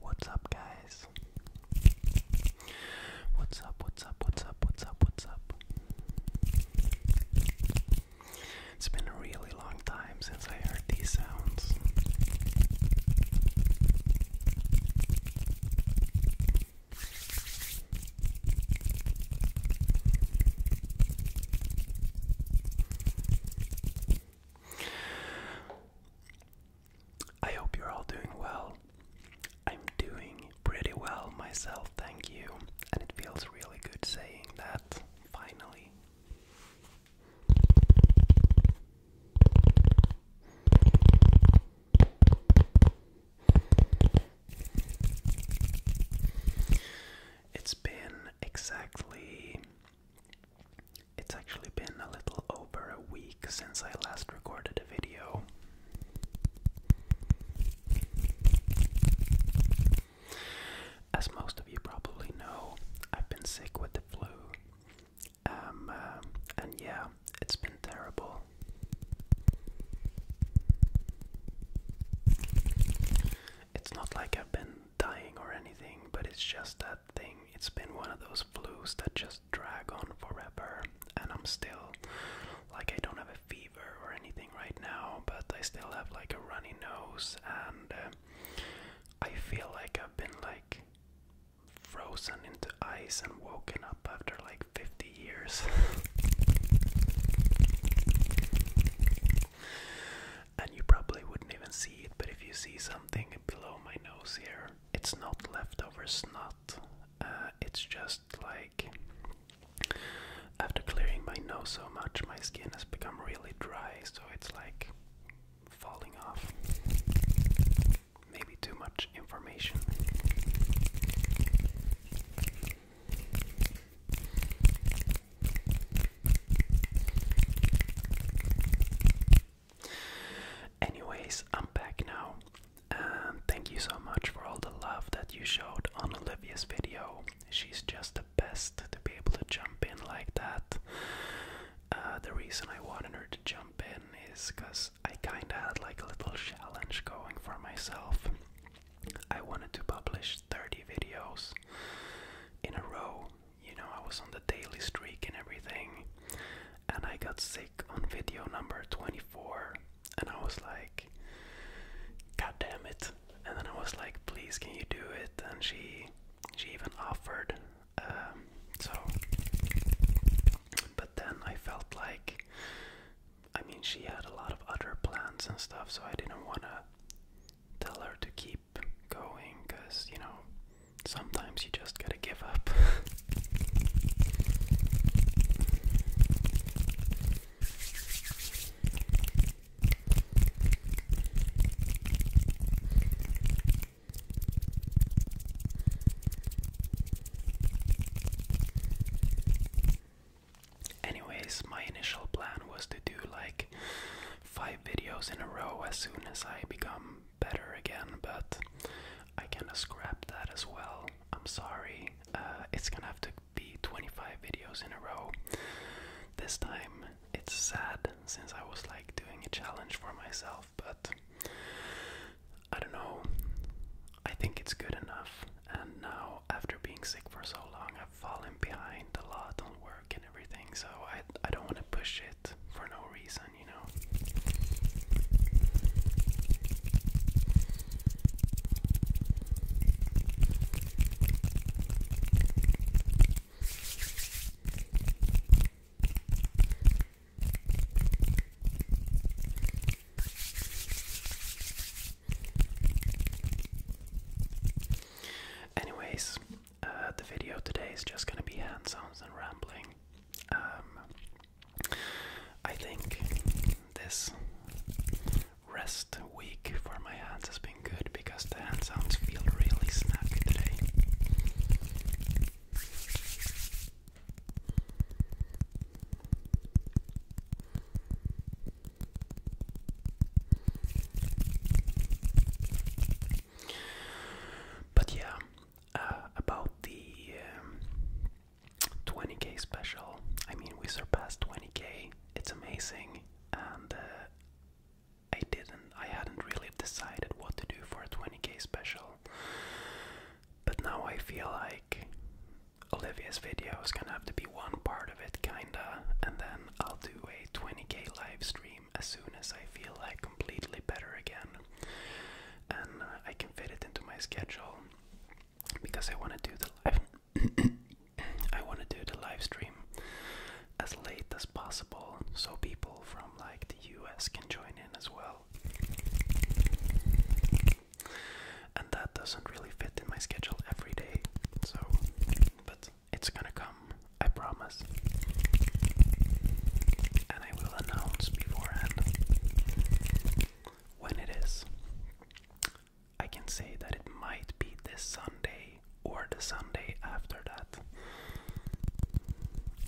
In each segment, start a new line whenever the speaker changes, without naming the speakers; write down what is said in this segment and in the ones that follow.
What's up, guys? What's up? What's up? What's up? What's up? What's up? It's been a really long time since I heard these sounds. I hope you're all doing well. I'm doing pretty well myself, thank you. And it feels really good saying that finally it's been exactly. It's actually been a little over a week since I last recorded a video. As most of you probably know, I've been sick with the flu. Um, uh, and yeah, it's been terrible. It's not like I've been dying or anything, but it's just that thing. It's been one of those flus that just drag on forever, and I'm still like I don't have a fever or anything right now, but I still have like a runny nose and. Uh, I feel like I've been like frozen into ice and woken up after like 50 years. and you probably wouldn't even see it, but if you see something below my nose here, it's not leftovers. Not. Uh, it's just like after clearing my nose so much, my skin has become really dry, so it's like falling off. Maybe too much information. Anyways, I'm back now, thank you so much for all the love that you showed on Olivia's video. She's just best to be able to jump in like that. Uh, the reason I wanted her to jump in is because I kinda had like a little challenge going for myself. I wanted to publish 30 videos in a row. You know, I was on the daily streak and everything, and I got sick on video number 24, and I was like, God damn it, and then I was like, please, can you do it? And she she even offered. Um, so, but then I felt like, I mean, she had a lot of other plans and stuff, so I didn't want to tell her to keep going because, you know, sometimes you just gotta give up. Anyways, my initial plan was to do like five videos in a row as soon as I become better again, but I kinda scrapped that as well. I'm sorry. Uh, it's gonna have to be 25 videos in a row this time, it's sad since I was like doing a challenge for myself, but I don't know. I think it's good enough. And now, after being sick for so long, I've fallen behind a lot on work and everything, so I, I don't want to push it for no reason, you know. Anyways, uh, the video today is just gonna be hand sounds and rambling. Um, I think this rest week for my hands has been good because the hand sounds feel really snappy today. But yeah, uh, about the 20k um, special, I mean, we surpassed 20k, it's amazing, and uh, I didn't, I hadn't really decided what to do for a 20k special. But now I feel like Olivia's video is gonna have to be one part of it, kinda, and then I'll do a 20k live stream as soon as I feel like completely better again. And uh, I can fit it into my schedule because I wanna do the live. I want to do the live stream as late as possible so people from like the US can join in as well. And that doesn't really fit in my schedule every day. So, but it's gonna come, I promise. And I will announce beforehand when it is. I can say that it might be this Sunday or the Sunday after that.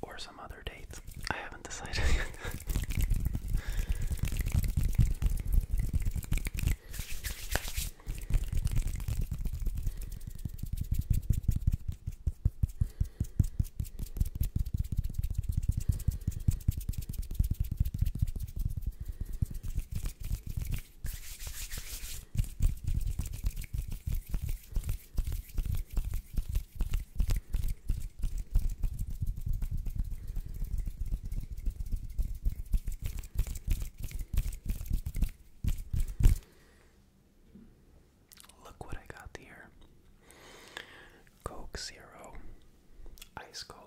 Or some other date. I haven't decided yet. Look what I got here. Coke Zero, ice cold.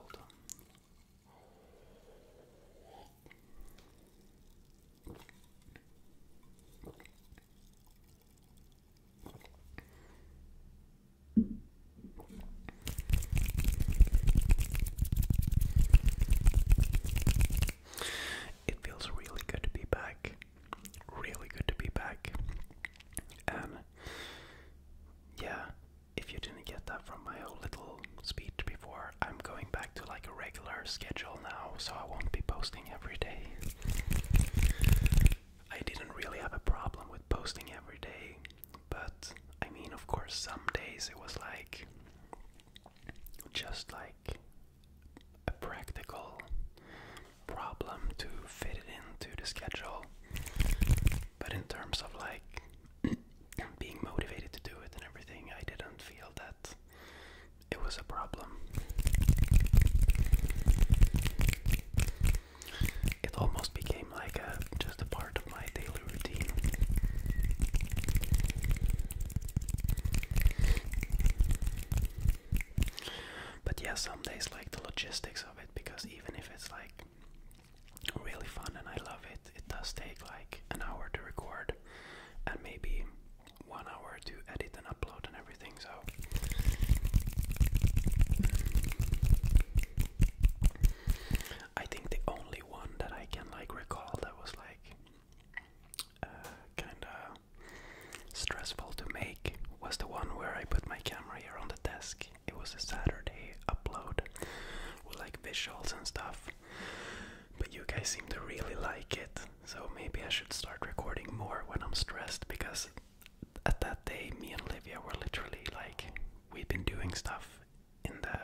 It feels really good to be back. Really good to be back. And um, yeah, if you didn't get that from my whole little speech before, I'm going back to like a regular schedule now, so I won't be posting every day. I didn't really have a problem with posting every day, but I mean, of course, some days it was like just like a practical problem to fit it into the schedule. But in terms of like being motivated to do it and everything, I didn't feel that it was a problem. It almost became like a just a part of my daily routine. But yeah, some days like the logistics of it because even if it's like really fun and I love it. It does take like an hour to record and maybe one hour to edit and upload and everything, so I think the only one that I can like recall that was like uh, kind of stressful to make was the one where I put my camera here on the desk. It was a Saturday upload with like visuals and stuff, but you guys seem to really like it, so maybe I should start recording more when I'm stressed because at that day, me and Olivia were literally like, we have been doing stuff in the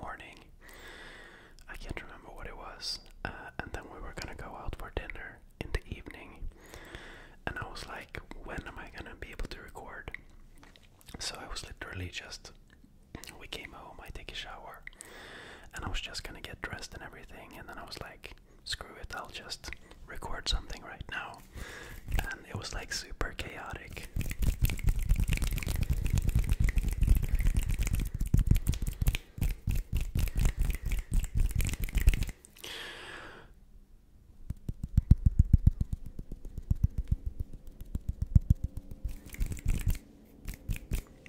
morning. I can't remember what it was. Uh, and then we were gonna go out for dinner in the evening. And I was like, when am I gonna be able to record? So I was literally just. We came home, I take a shower, and I was just gonna get dressed and everything, and then I was like, screw it, I'll just record something right now. And it was like super chaotic.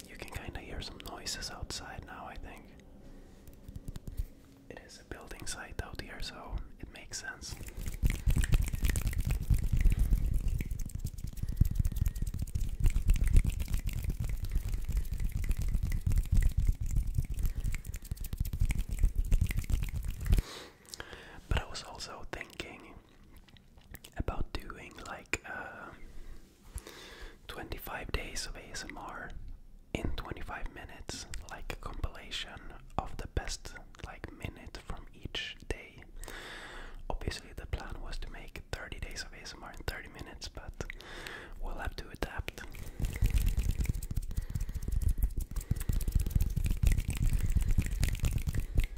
You can kind of hear some noises outside now, I think. It is a building site out here, so it makes sense. But I was also thinking about doing like uh, 25 days of ASMR in 25 minutes, like a compilation of the best like minute from each day. Obviously, the plan was to make 30 days of ASMR in 30 minutes, but we'll have to adapt.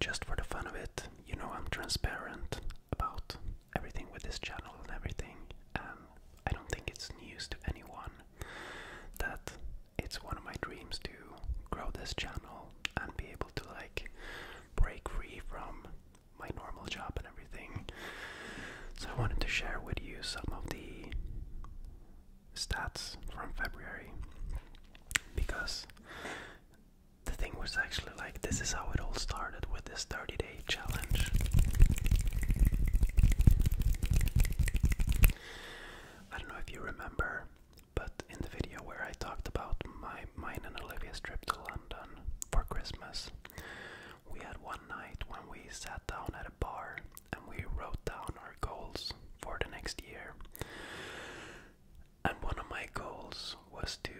Just for the fun of it, you know I'm transparent about everything with this channel and everything, I don't think it's news to anyone that it's one of my dreams to grow this channel and be able to like break free from my normal job and everything. So I wanted to share with you some of the stats from February because the thing was actually like this is how it all started with this 30 day challenge. I don't know if you remember, but in the video where I talked about my my mine and Olivia's trip to London for Christmas. We had one night when we sat down at a bar and we wrote down our goals for the next year. And one of my goals was to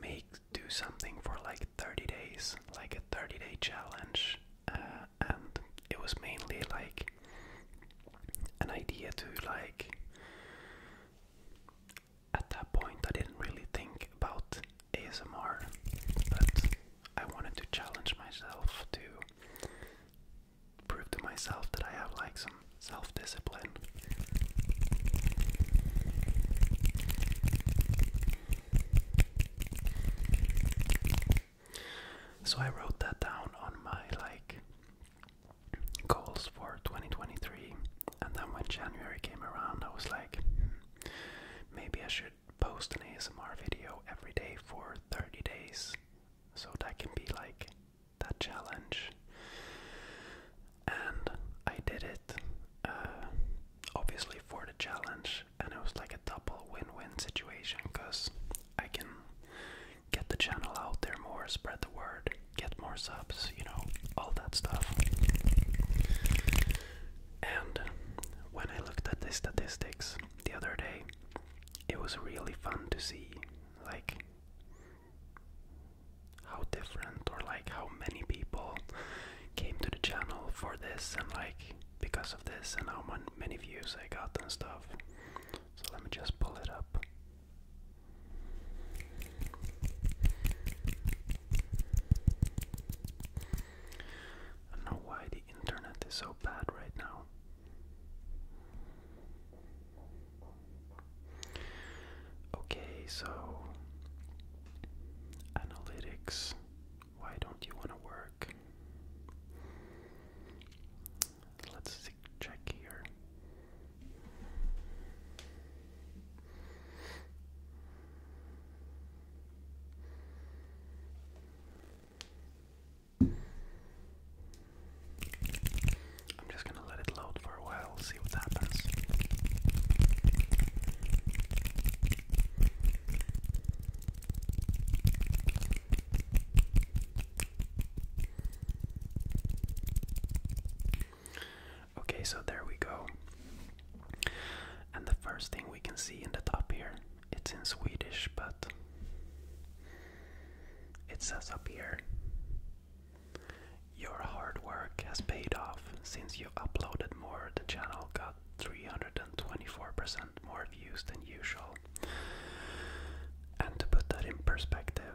make do something for like 30 days, like a 30 day challenge. Uh, and it was mainly like an idea to like at that point, I didn't really think about ASMR, but I wanted to challenge myself to prove to myself that I have like some self discipline. So I wrote that down on my like goals for 2023, and then when January came around, I was like, hmm, maybe I should post an ASMR video every day for 30 days, so that can be like that challenge. And I did it, uh, obviously for the challenge, and it was like a double win-win situation because I can get the channel out there more, spread the word, get more subs, you know, all that stuff. And when I looked at the statistics the other day, it was really fun to see, like, how different or like how many people came to the channel for this and like because of this and how many views I got and stuff. So let me just pull it up. I don't know why the internet is so bad right now. Okay, so analytics, why don't you want to work? Let's check here. I'm just going to let it load for a while, see what happens. Okay, so there we go. And the first thing we can see in the top here, it's in Swedish, but it says up here Your hard work has paid off since you uploaded more. The channel got 324% more views than usual. And to put that in perspective,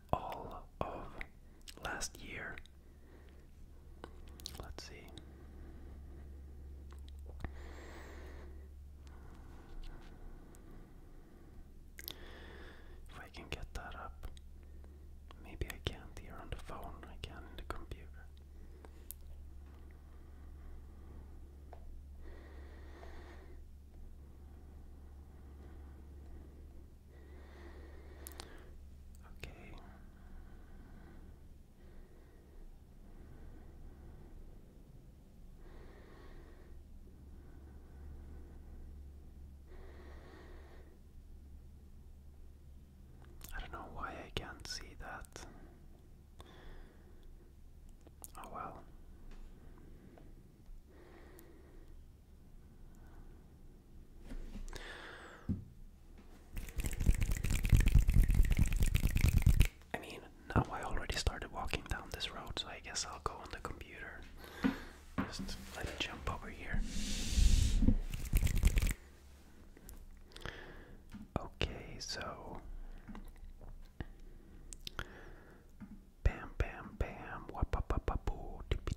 all of last year. Let's see. If I can get that up. Maybe I can here on the phone, I can in the computer. Okay. I don't know why I can't see that. Oh well. I mean, now I already started walking down this road, so I guess I'll go on the computer. Just let it jump over here. Okay, so. Bam, bam, bam. Wapapapapoo. Tippy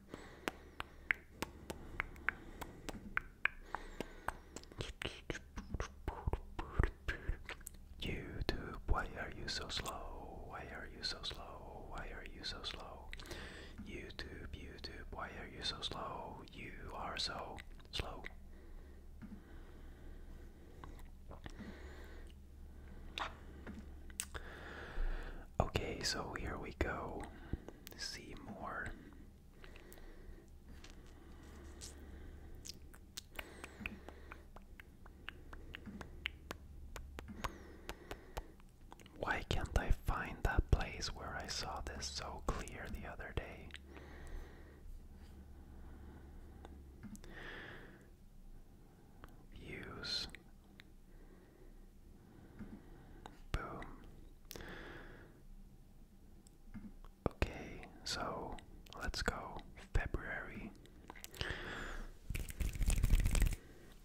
YouTube, why are you so slow? Why are you so slow? Why are you so slow? YouTube, YouTube, why are you so slow? You are so slow. Okay, so here we go see more. Why can't I find that place where I saw this so clear the other day? Views Boom. Okay, so let's go February.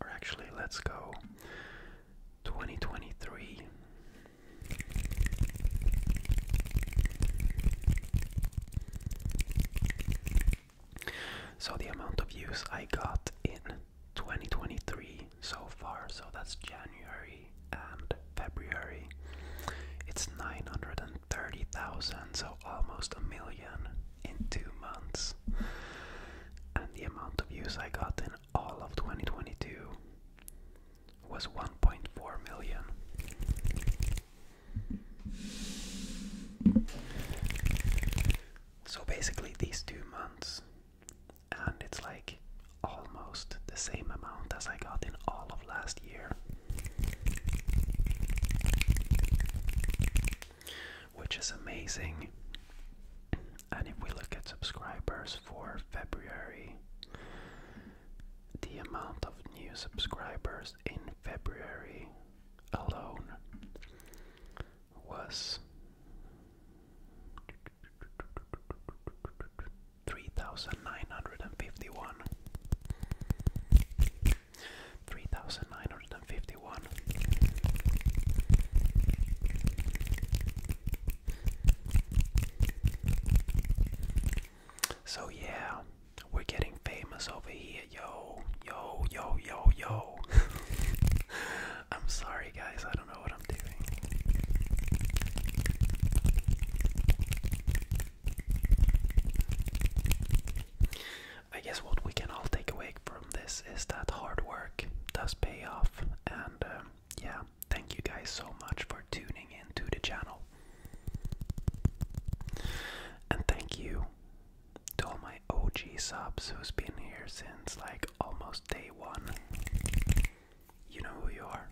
Or actually, let's go 2023. So, the amount of views I got in 2023 so far, so that's January and February. It's 930,000, so almost a million in two months. And the amount of views I got in all of 2022 was 1.4 million. So basically, these two months and it's like almost the same amount as I got in all of last year. Which is amazing. And if we look at subscribers for February, the amount of new subscribers in February alone was Three thousand nine hundred and fifty one, three thousand nine hundred and fifty one, so yeah, we're getting famous over here, yo, yo, yo, yo, yo. I'm sorry, guys, I don't know what I'm doing. I guess what we can all take away from this is that hard work does pay off, and um, yeah, thank you guys so much for tuning in to the channel. And thank you to all my OG subs who's been here since like almost day one. You know who you are.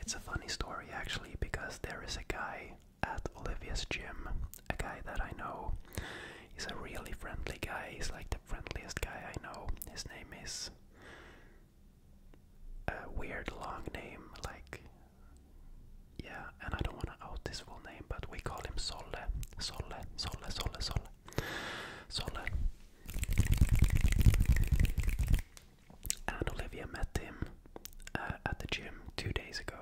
It's a funny story actually because there is a guy at Olivia's gym, a guy that I know. He's a really friendly guy. He's like the friendliest guy I know. His name is a weird long name, like yeah. And I don't want to out his full name, but we call him Sole. Sole. Sole. Sole. Sole. Sole and Olivia met him uh, at the gym two days ago.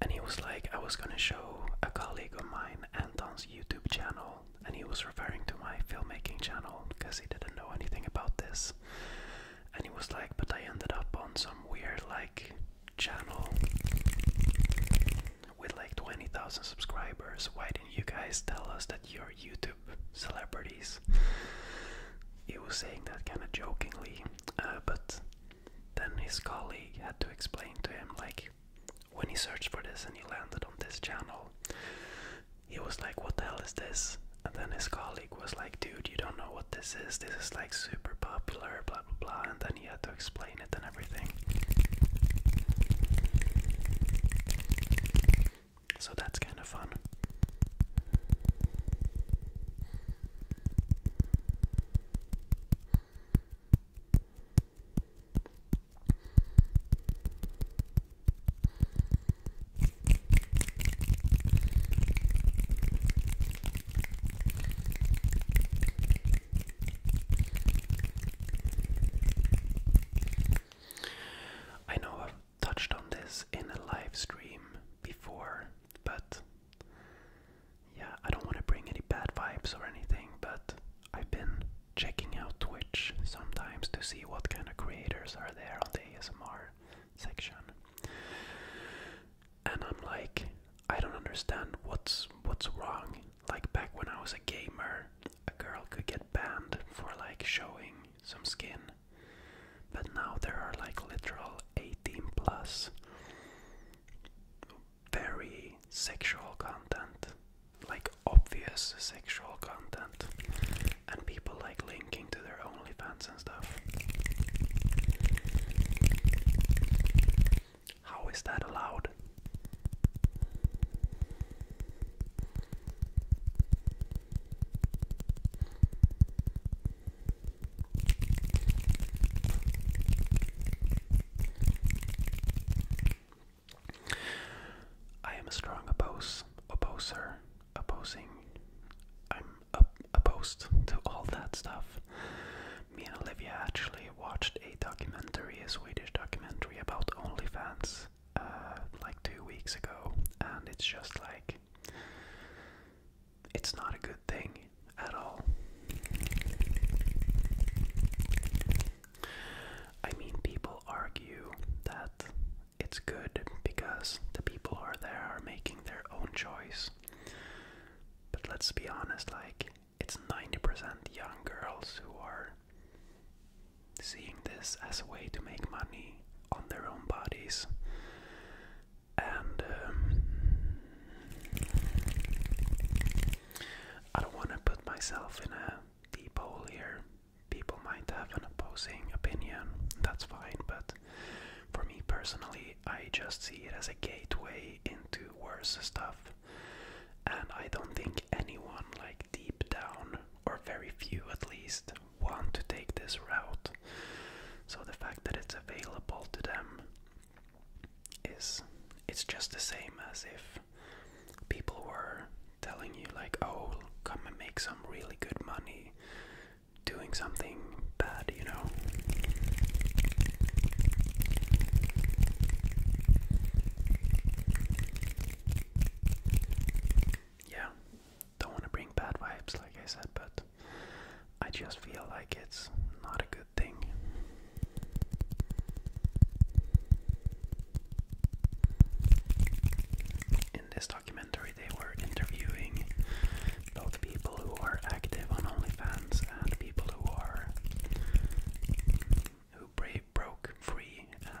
And he was like, I was gonna show a colleague of mine Anton's YouTube channel, and he was referring to my filmmaking channel because he didn't know anything about this. And he was like, But I ended up on some weird, like, channel with like 20,000 subscribers. Why didn't you guys tell us that your YouTube celebrities. He was saying that kind of jokingly, uh, but then his colleague had to explain to him, like, when he searched for this and he landed on this channel, he was like, What the hell is this? And then his colleague was like, Dude, you don't know what this is. This is like super popular, blah blah blah. And then he had to explain it and everything. So that's kind of fun. I know touched on this in a live stream before, but yeah, I don't want to bring any bad vibes or anything, but I've been checking out Twitch sometimes to see what kind of creators are there on the ASMR section. And I'm like, I don't understand what's what's wrong. Like back when I was a gamer, a girl could get banned for like showing some skin. But now there are like literal 18 plus very sexual content, like obvious sexual content, and people like linking to their OnlyFans and stuff. How is that allowed? I am a strong oppose, opposer, opposing. I'm a opposed to all that stuff. Me and Olivia actually watched a documentary, a Swedish documentary about OnlyFans, uh, like two weeks ago, and it's just like it's not a good thing at all. I mean, people argue that it's good because the people who are there are making their own choice. But let's be honest, like, it's 90% young girls who are seeing this as a way to make money on their own bodies. And um, I don't want to put myself in a deep hole here. People might have an opposing opinion, that's fine, but for me personally, I just see it as a gateway into worse stuff. And I don't think anyone, like deep down, or very few at least, want to take this route. So the fact that it's available to them is it's just the same as if people were telling you like, oh, come and make some really good money doing something bad, you know yeah, don't want to bring bad vibes, like I said, but I just feel like it's not a good thing. In this documentary, they were interviewing both people who are active on OnlyFans and people who are who brave, broke free um,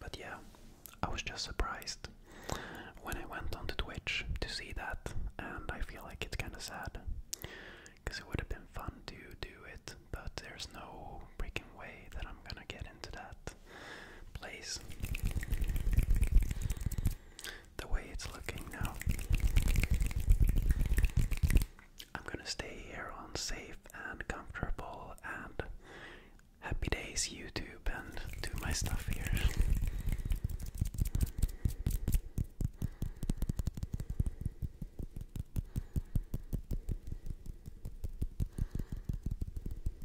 But yeah, I was just surprised when I went on onto Twitch to see that, and I feel like it's kind of sad because it would have been fun to do it, but there's no freaking way that I'm gonna get into that place the way it's looking now. I'm gonna stay here on safe and comfortable and happy days YouTube and do my stuff here.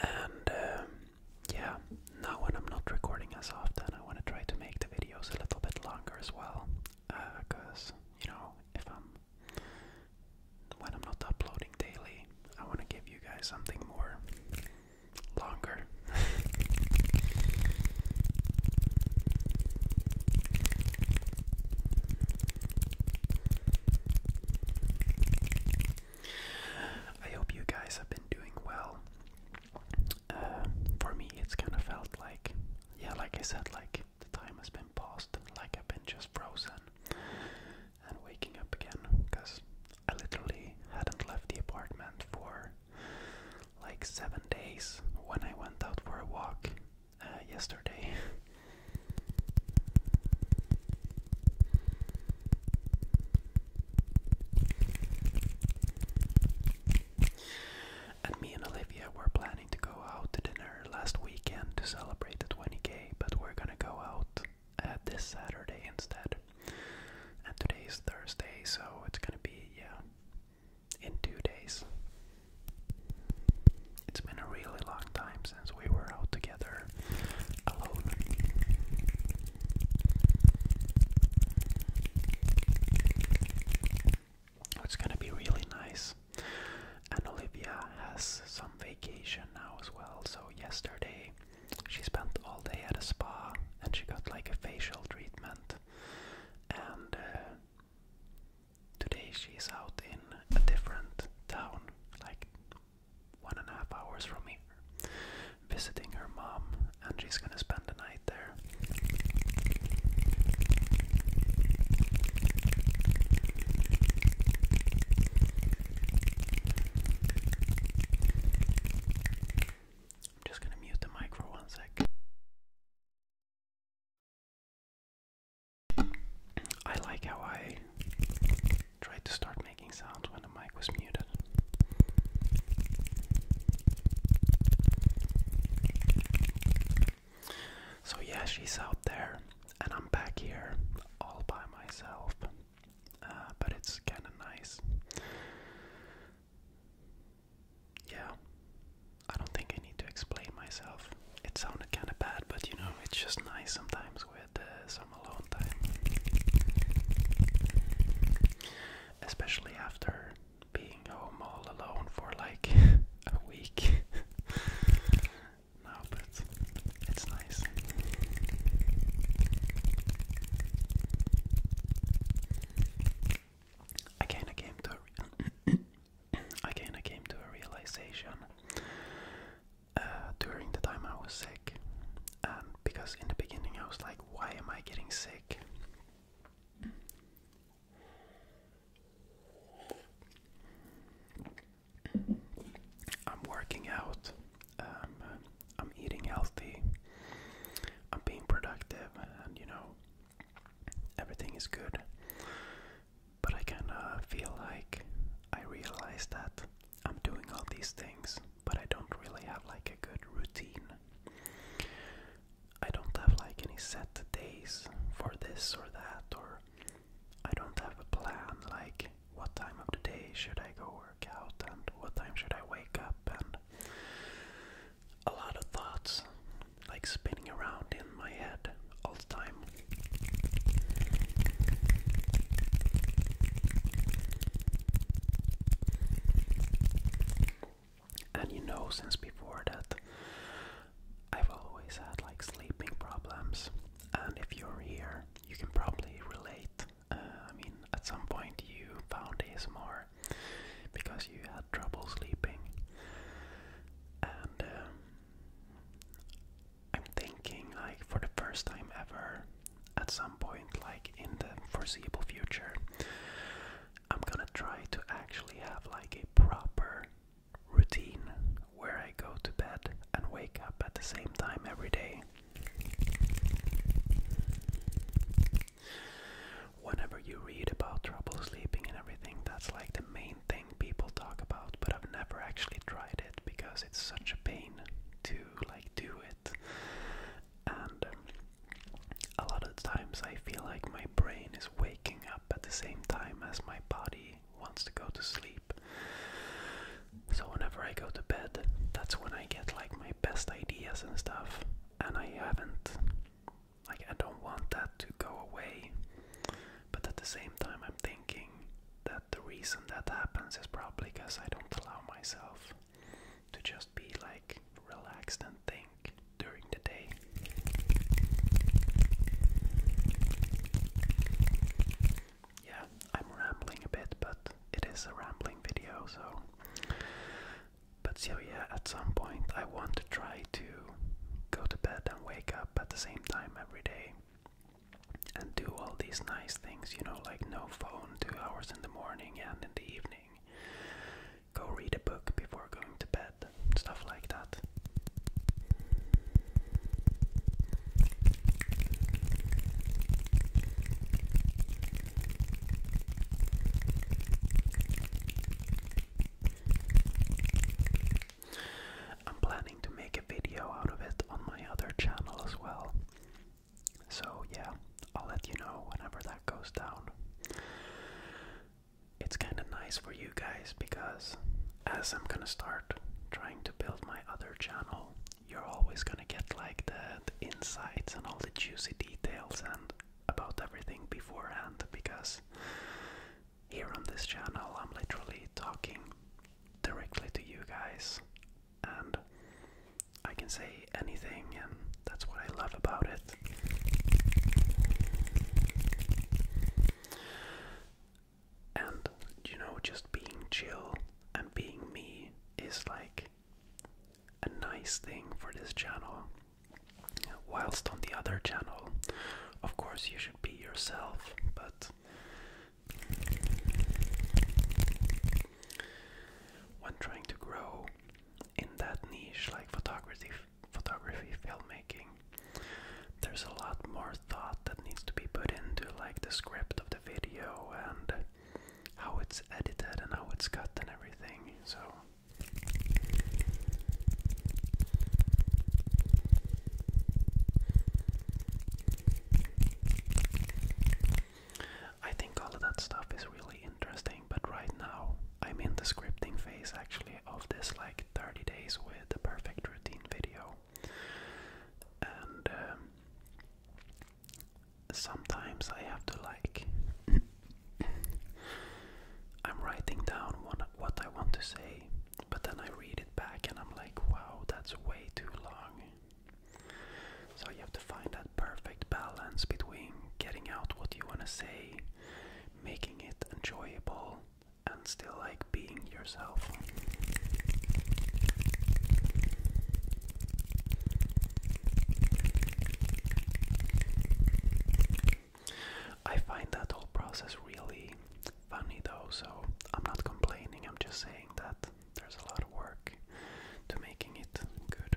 And um, yeah, now when I'm not recording as often, I want to try to make the videos a little bit longer as well. Because, uh, you know, if I'm. When I'm not uploading daily, I want to give you guys something more longer. I hope you guys have been doing well. Uh, for me, it's kind of felt like, yeah, like I said, like the time has been paused, like I've been just frozen and waking up again because I literally hadn't left the apartment for like seven days when I went out for a walk uh, yesterday. and me and Olivia were planning to go out to dinner last weekend to celebrate the 20k, but we're gonna go out at uh, this Saturday instead. And today is Thursday, so it's gonna be, yeah, in two days. It's been a really long time since we were out together alone. It's gonna be really nice. And Olivia has some vacation now as well. So, yesterday she spent all day at a spa and she got like a facial treatment. And uh, Today she's out in a different town, like one and a half hours from here, visiting her mom, and she's gonna spend the night there. I'm just gonna mute the mic for one sec. I like how I tried to start making sounds when the mic was muted. So, yeah, she's out there, and I'm back here all by myself. Uh, but it's kind of nice yeah, I don't think I need to explain myself. It sounded kind of bad, but you know, it's just nice sometimes with uh, some alone time. Especially after being home all alone for like a week. no, but it's nice. Again, I came to a again I came to a realization uh, during the time I was sick, and because in the beginning I was like, why am I getting sick? I'm working out. Um, I'm eating healthy. I'm being productive, and you know, everything is good. But I kind of feel like I realize that I'm doing all these things, but I don't really have like a good routine. I don't have like any set days for this or that, or I don't have a plan like what time of the day should I go work out and what time should I wake up and a lot of thoughts like spinning around in my head all the time. And you know, since before that, I've always had like sleeping problems. And if you're here, you can probably relate. Uh, I mean, at some point you found more because you had trouble sleeping. And um, I'm thinking, like, for the first time ever, at some point, like in the foreseeable future, I'm gonna try to actually have like a proper routine where I go to bed and wake up at the same time every day. Whenever you read about trouble sleeping and everything, that's like the main thing people talk about, but I've never actually tried it because it's such a pain to like do it. And um, a lot of times I feel like my brain is waking up at the same time as my body wants to go to sleep. So whenever I go to bed, that's when I get like my best ideas and stuff. And I haven't like, I don't want that to go away. But at the same time, I'm thinking that the reason that happens is probably because I don't allow myself to just be like relaxed and think during the day. Yeah, I'm rambling a bit, but it is a rambling video, so but so yeah, at some point I want to try to go to bed and wake up at the same time every day and do all these nice things, you know, like no phone, two hours in the morning and in the evening. Go read a book before going to bed, stuff like that. I'm planning to make a video out of it on my other channel as well. So, yeah, I'll let you know whenever that goes down. It's kind of nice for you guys because as I'm gonna start trying to build my other channel, you're always gonna get like the, the insights and all the juicy details and about everything beforehand because here on this channel I'm literally talking directly to you guys and I can say anything and that's what I love about it. And you know, just being chill and being me is like a nice thing for this channel. Whilst on the other channel, of course, you should be yourself, but when trying to grow in that niche like photography, photography, filmmaking, there's a lot more thought that needs to be put into like the script of the video and how it's edited and how it's cut and everything. So I think all of that stuff is really interesting, but right now I'm in the scripting phase actually of this like 30 days with the perfect routine video. And um, sometimes I have to like I'm writing down one, what I want to say, but then I read it back and I'm like, wow, that's way too long. So you have to find that perfect balance between getting out what you want to say, making it enjoyable, and still like being yourself. I find that whole process really funny though, so I'm not complaining, I'm just saying that there's a lot of work to making it good.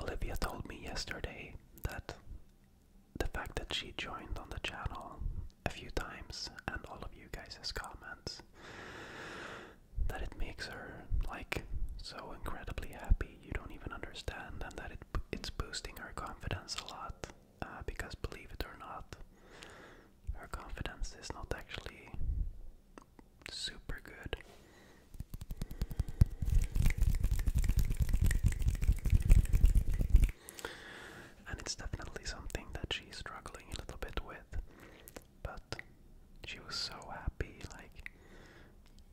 Olivia told me yesterday that the fact that she joined on the channel a few times and all of you guys' comments that it makes her like so incredibly happy you don't even understand, and that it's boosting her confidence a lot. Uh, because believe it or not, her confidence is not actually super good. And it's definitely something that she's struggling a little bit with. But she was so happy, like,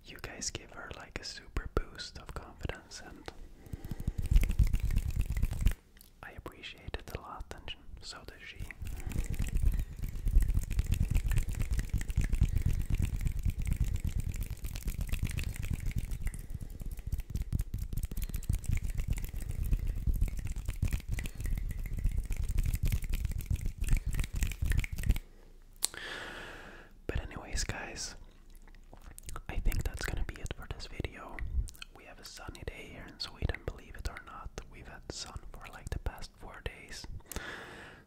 you guys give her like a super boost of confidence, and I appreciated it a lot, and so does she. But anyways guys, I think that's gonna be it for this video. We have a sunny day here in Sweden, believe it or not. We've had sun for like the past four days.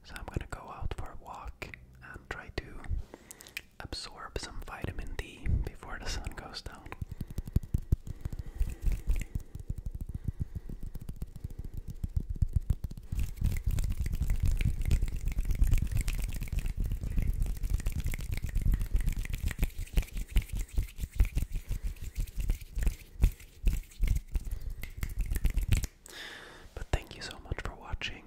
So I'm gonna go out for a walk and try to absorb some vitamin D before the sun goes down. But thank you so much for watching.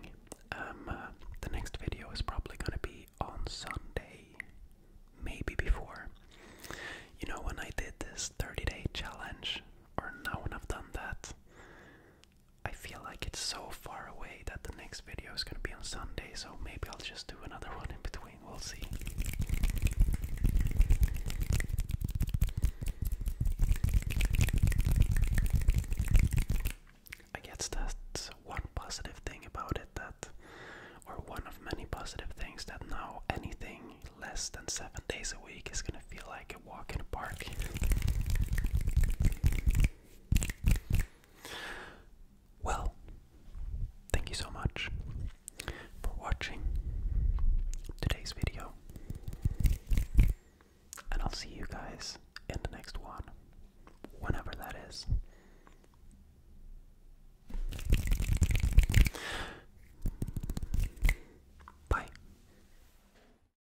Um, uh, the next video is probably going to be on Sunday, maybe before. You know, when I did this 30 day challenge, or now when I've done that, I feel like it's so far away that the next video is gonna be on Sunday, so maybe I'll just do another one in between. We'll see. I guess that's one positive thing about it that, or one of many positive things, that now anything less than seven days a week is gonna feel like walk in a park. Well, thank you so much for watching today's video. And I'll see you guys in the next one, whenever that is. Bye.